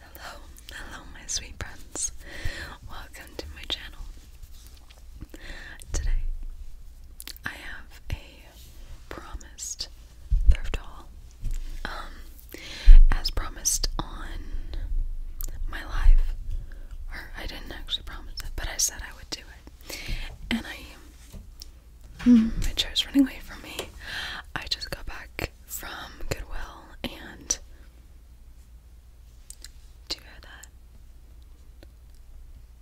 Hello, hello my sweet friends. Welcome to my channel. Today I have a promised thrift um, as promised on my live. Or I didn't actually promise it, but I said I would do it. And I my chair's running away from me. I just got back from Goodwill and do you hear that?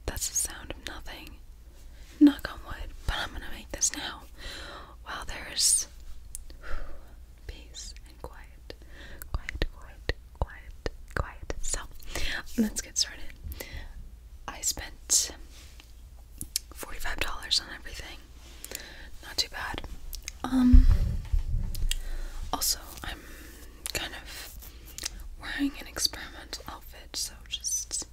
That's the sound of nothing. Knock on wood, but I'm gonna make this now. While there's peace and quiet, quiet, quiet, quiet, quiet. So let's get started. I spent $45 on everything. Not too bad. Um, also I'm kind of wearing an experimental outfit, so just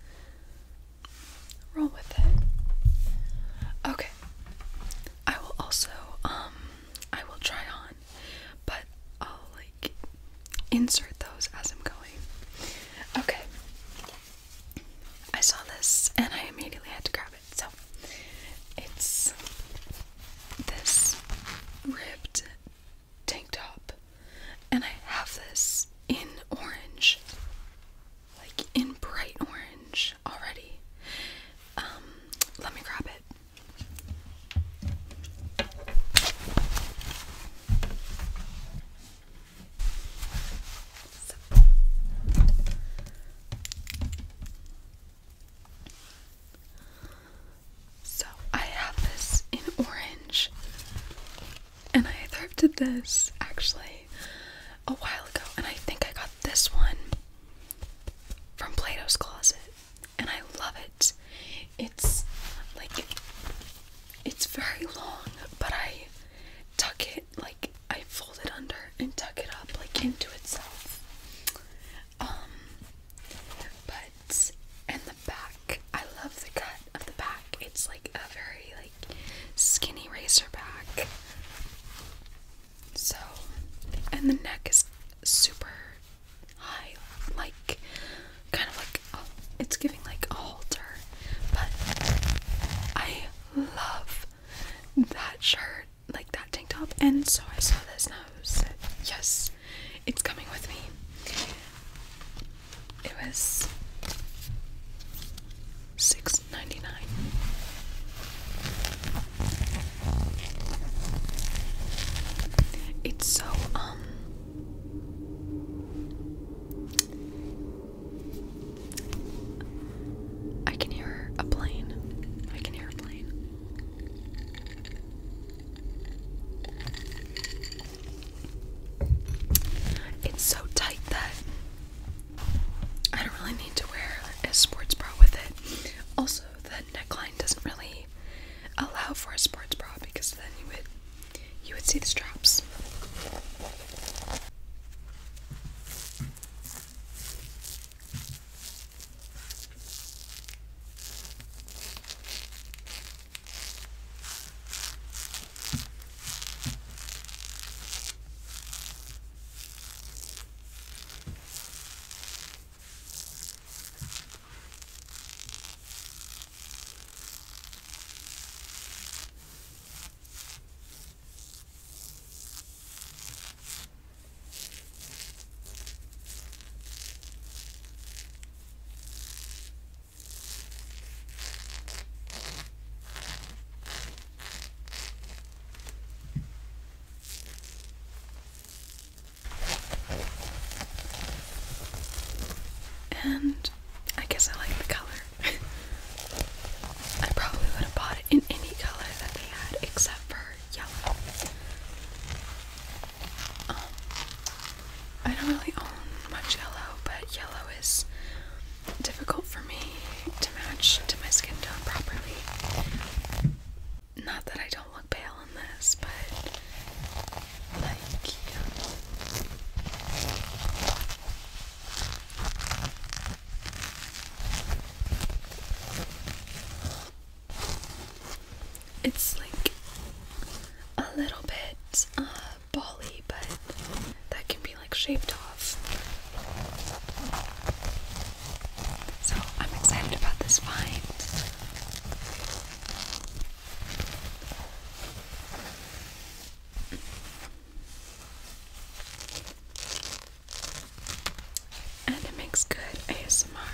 roll with it. Okay. I will also um, I will try on, but I'll like insert those as I'm going. Okay. I saw this and I immediately had to grab it. So it's this ripped tank top, and I have this in orange, like in bright orange already. Um, let me grab it. So I have this in orange, and I thrifted this actually a while ago, and I think I got this one from Plato's Closet, and I love it. It's like it's very long, but I tuck it like I fold it under and tuck it up like into itself. Um but and the back, I love the cut of the back. It's like a very like skinny racer back. So and the neck is super high, like kind of like oh, it's giving like all but I love that shirt, like that tank top. And so I saw this and yes, it's coming with me. It was six ninety nine. It's so um I can hear a plane. I can hear a plane. It's so tight that I don't really need to wear a sports bra with it. Also, the neckline doesn't really allow for a sports bra because then you would you would see the straps. And I guess I like the color. I probably would have bought it in any color that they had except for yellow. Um, I don't really own much yellow, but yellow is difficult for me to match to my skin tone properly. Not that I don't look pale in this, but like It's like a little bit uh, bally, but that can be like shaved off. So I'm excited about this find. And it makes good ASMR.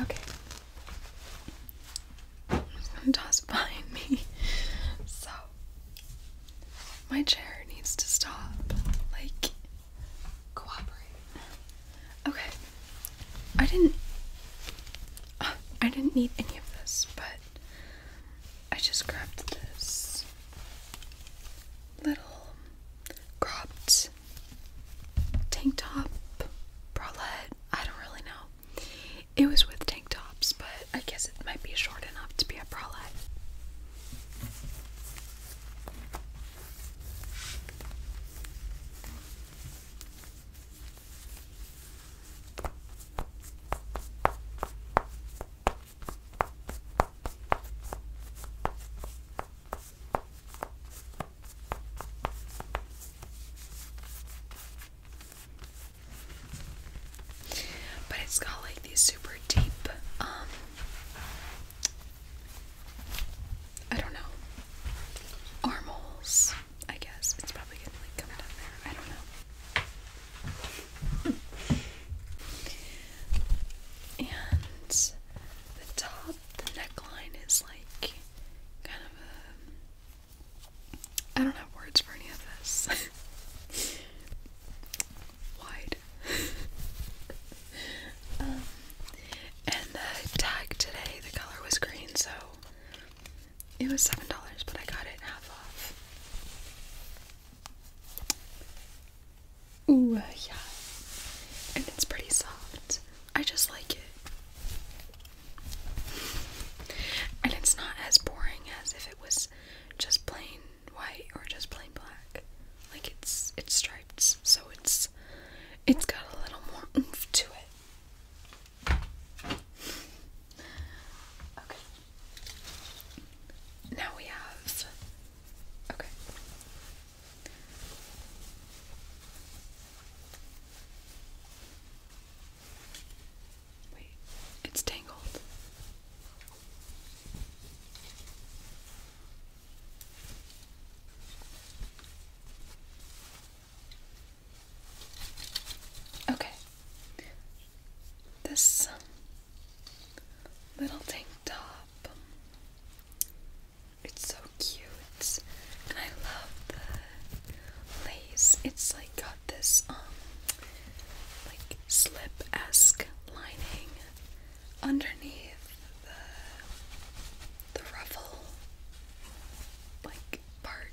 Okay. There's behind me. So, my chair needs to stop. Like, cooperate. Okay. I didn't. Uh, I didn't need any of this, but I just grabbed this little cropped tank top bralette. I don't really know. It was with tank tops, but I guess it might be short enough to be a bralette. But it's got like these super deep, um, I don't know, armholes, I guess. It's probably gonna like come down there. I don't know and the top, the neckline is like kind of a. I don't have words for any of this. Wide. Um, and the tag today, the color was green, so it was $7, but I got it half off. Oh yeah. And it's pretty soft. I just like it. And it's not as boring as if it was just plain white or just plain black. Like it's it's stripes, so it's it's got a little more oomph to it. Okay. Now we have. Okay. Wait, it's tangled. Okay this little tank top. It's so cute, I love the lace. It's like got this um like slip esque lining underneath the the ruffle like part,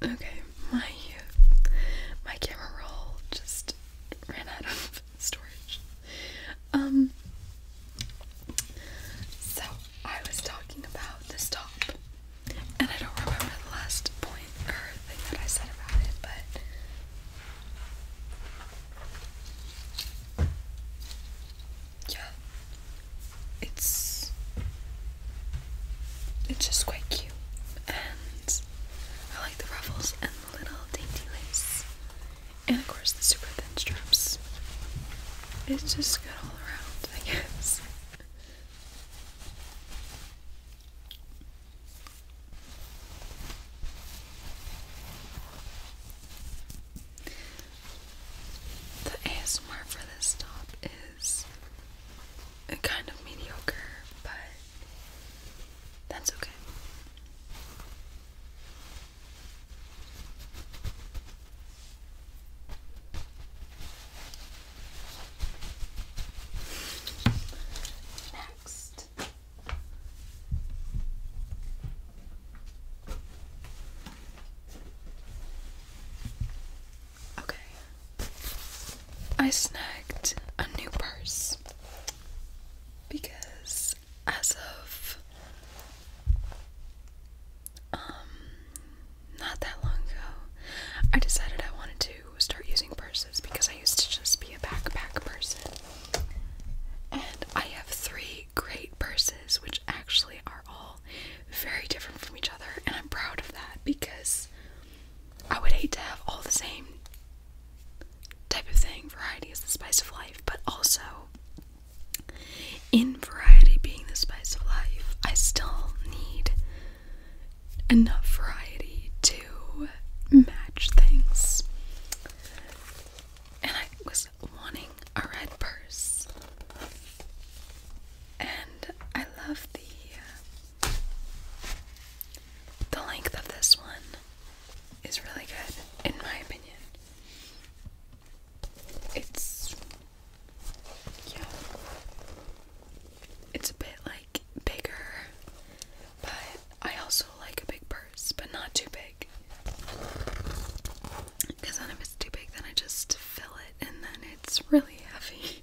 Okay, my my camera roll just ran out of storage. Um so I was talking about this top and I don't remember the last point or thing that I said about it, but yeah, it's it's just quite cute, and I like the ruffles and the little dainty lace, and of course the super thin straps. It's just good all around, I guess. The ASMR for this talk is a kind of mediocre, but that's okay. Next, Okay. I snacked a new purse because as of um not that long ago, I decided I wanted to start using purses because I used to just be a backpack person. And I have three great purses, which actually are all very different from each other, and I'm proud of that because I would hate to have all the same type of thing. Variety is the spice of life, but also in variety being the spice of life, I still need enough variety to match things. And I was wanting a red purse. And I love the uh, the length of this one is really good in my opinion. It's yeah. It's a bit like bigger but I also like a big purse, but not too big. Because then if it's too big, then I just fill it and then it's really heavy.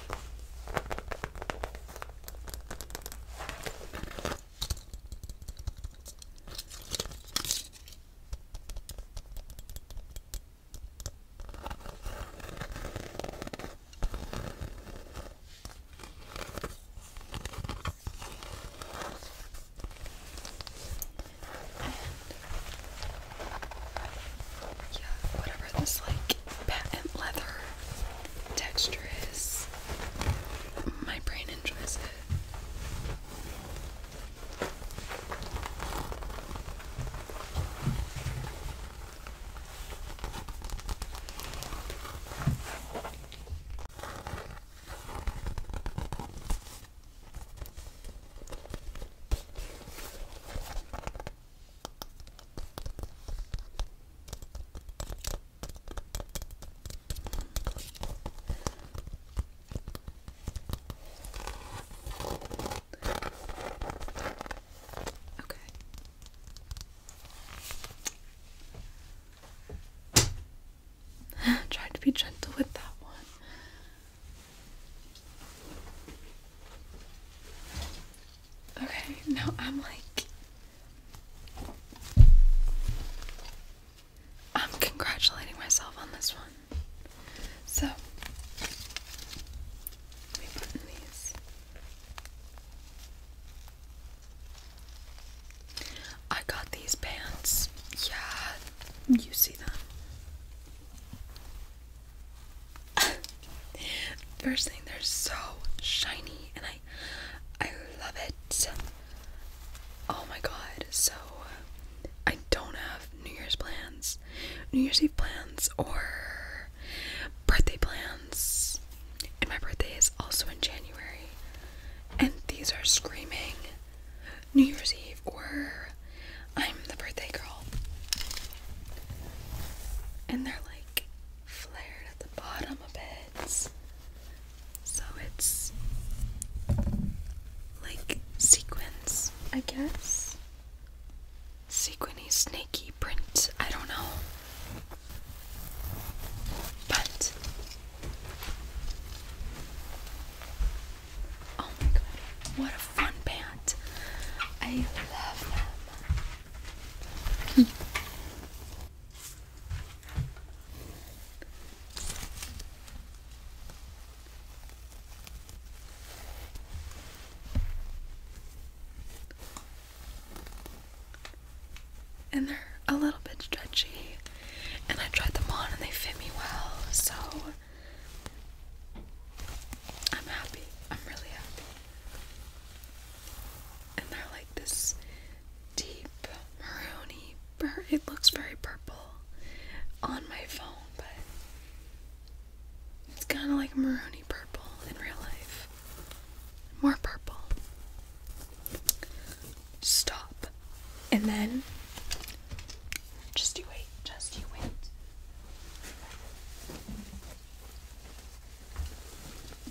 And yeah, whatever this like patent leather texture is. My brain enjoys it. Okay. Try to be gentle with that one. Okay, now I'm like. I'm congratulating myself on this one. So, let me button these. I got these pants. Yeah, you see them. First thing, they're so shiny, and I, I love it. Oh my god! So, I don't have New Year's plans, New Year's Eve plans, or birthday plans. And my birthday is also in January, and these are screaming New Year's Eve or I'm the birthday girl. And they're like flared at the bottom a bit. So it's like sequins, I guess. Sequiny, snaky print, I don't know. But Oh my god, what a fun pant! I love them. And they're a little bit stretchy, and I tried them on and they fit me well, so I'm happy. I'm really happy. And they're like this deep maroony. It looks very purple on my phone, but it's kind of like maroony purple in real life. More purple. Stop. And then just you wait. Just you wait.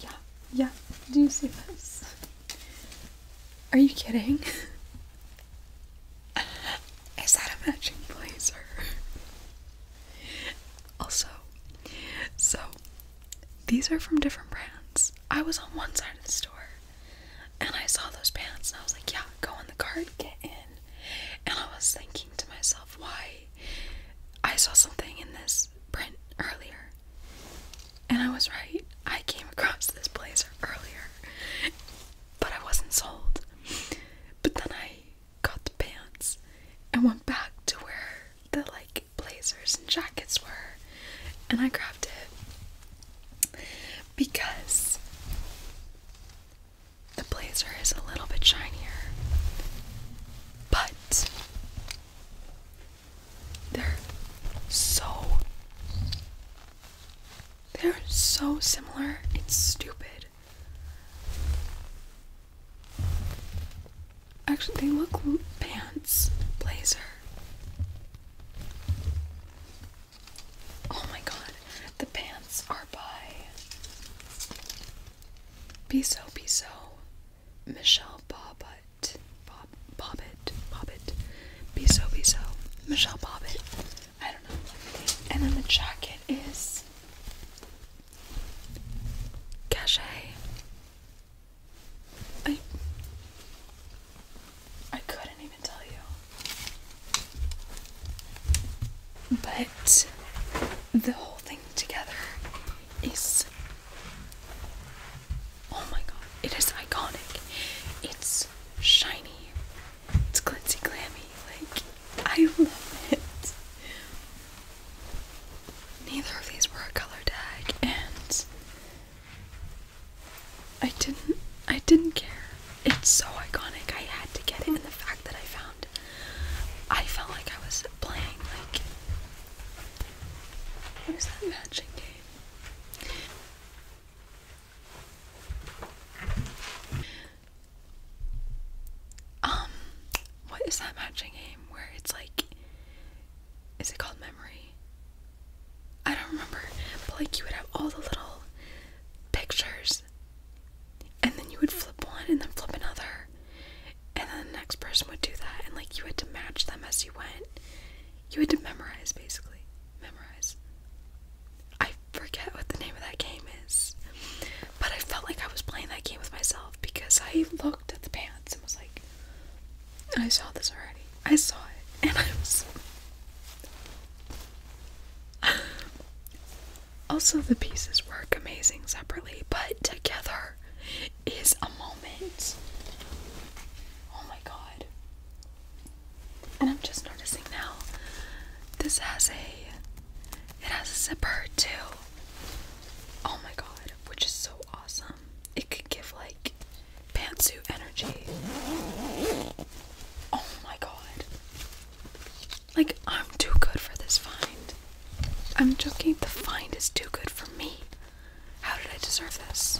Yeah, yeah, do you see this? Are you kidding? Is that a matching blazer? Also, so these are from different brands. I was on one side of the store and I saw those pants and I was like, yeah, go in the cart, get in. And I was thinking to myself, why? I saw something in this print earlier. And I was right. I came across this blazer earlier, but I wasn't sold. But then I got the pants and went back to where the like blazers and jackets were, and I grabbed it because the blazer is a little bit shinier, but they're so they're so similar. It's stupid. Actually, they look pants blazer. Oh my god, the pants are by Be So, Michelle Bobbitt, Bob, Bobbitt, Bobbitt, Biso Biso, Michelle Bobbitt. I don't know. And then the jacket is Cachet. I I couldn't even tell you. But the whole thing together is oh my god, it is iconic. It's shiny, it's glitzy glammy. Like, I love it. Neither of these were a color tag, and I didn't I didn't care it's so iconic. I had to get it, and the fact that I found, I felt like I was playing like, what is that matching game? Um, what is that matching game where it's like, is it called Memory? I don't remember, but like you would have all the little pictures and then you would flip one and then flip another. And then the next person would do that. And like you had to match them as you went. You had to memorize basically. Memorize. I forget what the name of that game is. But I felt like I was playing that game with myself because I looked at the pants and was like, I saw this already. I saw it. And I was. also, the pieces work amazing separately, but together is a moment. Oh my god. And I'm just noticing now this has a it has a zipper too. Oh my god, which is so awesome. It could give like pantsuit energy. Oh my god. Like, I'm too good for this find. I'm joking, the find is too good for me. How did I deserve this?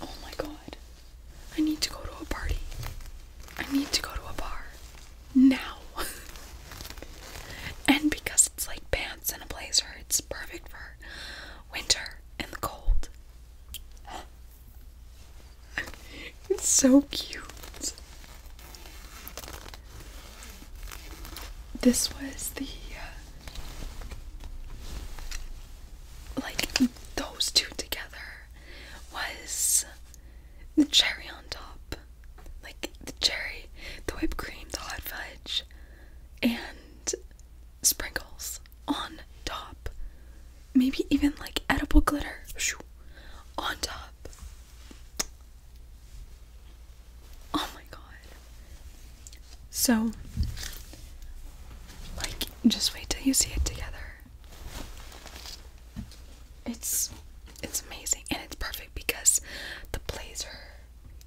Oh my god. I need to go to a party. I need to go to a bar. Now. and because it's like pants and a blazer, it's perfect for winter and the cold. It's so cute. This was the uh, like those two together was the cherry on top, like the cherry, the whipped cream, the hot fudge, and sprinkles on top. Maybe even like edible glitter on top. Oh my god. So, like, just wait till you see it together. It's it's amazing and it's perfect because the blazer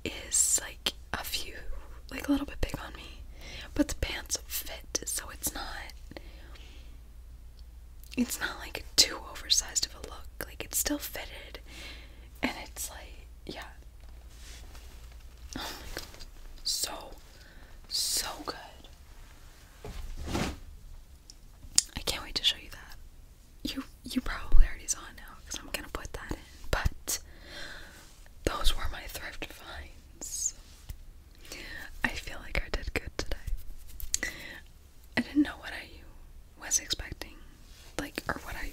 is like a few like a little bit big on me. But the pants fit, so it's not it's not like too oversized of a look. Like it's still fitted and it's like yeah. Oh my god. So so good. I can't wait to show you that. You you probably already saw it now because I'm gonna put that in. But those were my thrift finds. I feel like I did good today. I didn't know what I was expecting, like, or what I.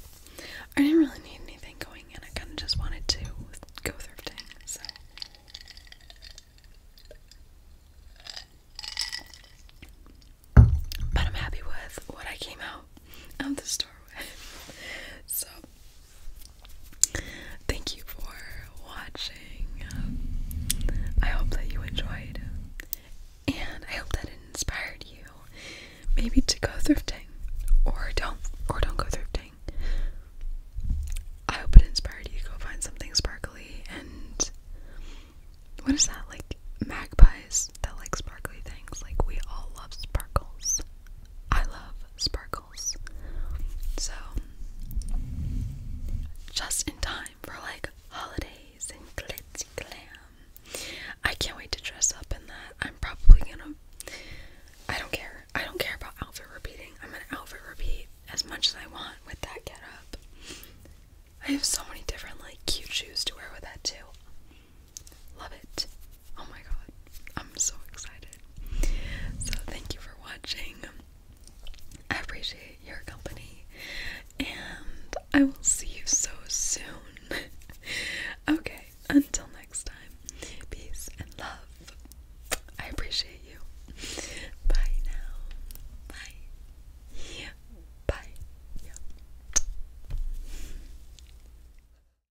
I didn't really need anything going in. I kind of just wanted to go thrifting, so. But I'm happy with what I came out of the store with. So Thank you for watching. I hope that you enjoyed, and I hope that it inspired you, maybe to go thrifting, or don't, or don't go thrifting. I hope it inspired you to go find something sparkly and what is that like magpies that like sparkly things? Like we all love sparkles. I love sparkles. So, just in time for like holidays and glitzy glam. I can't wait to dress up in that. I'm probably gonna. I don't care. I don't care about outfit repeating. I'm gonna outfit repeat as much as I want with that get up. I have so many different like cute shoes to wear with that too. Love it. Oh my god, I'm so excited. So, thank you for watching. I appreciate your company, and I will see you so soon. okay, until next time, peace and love. I appreciate you. Bye now. Bye. Bye.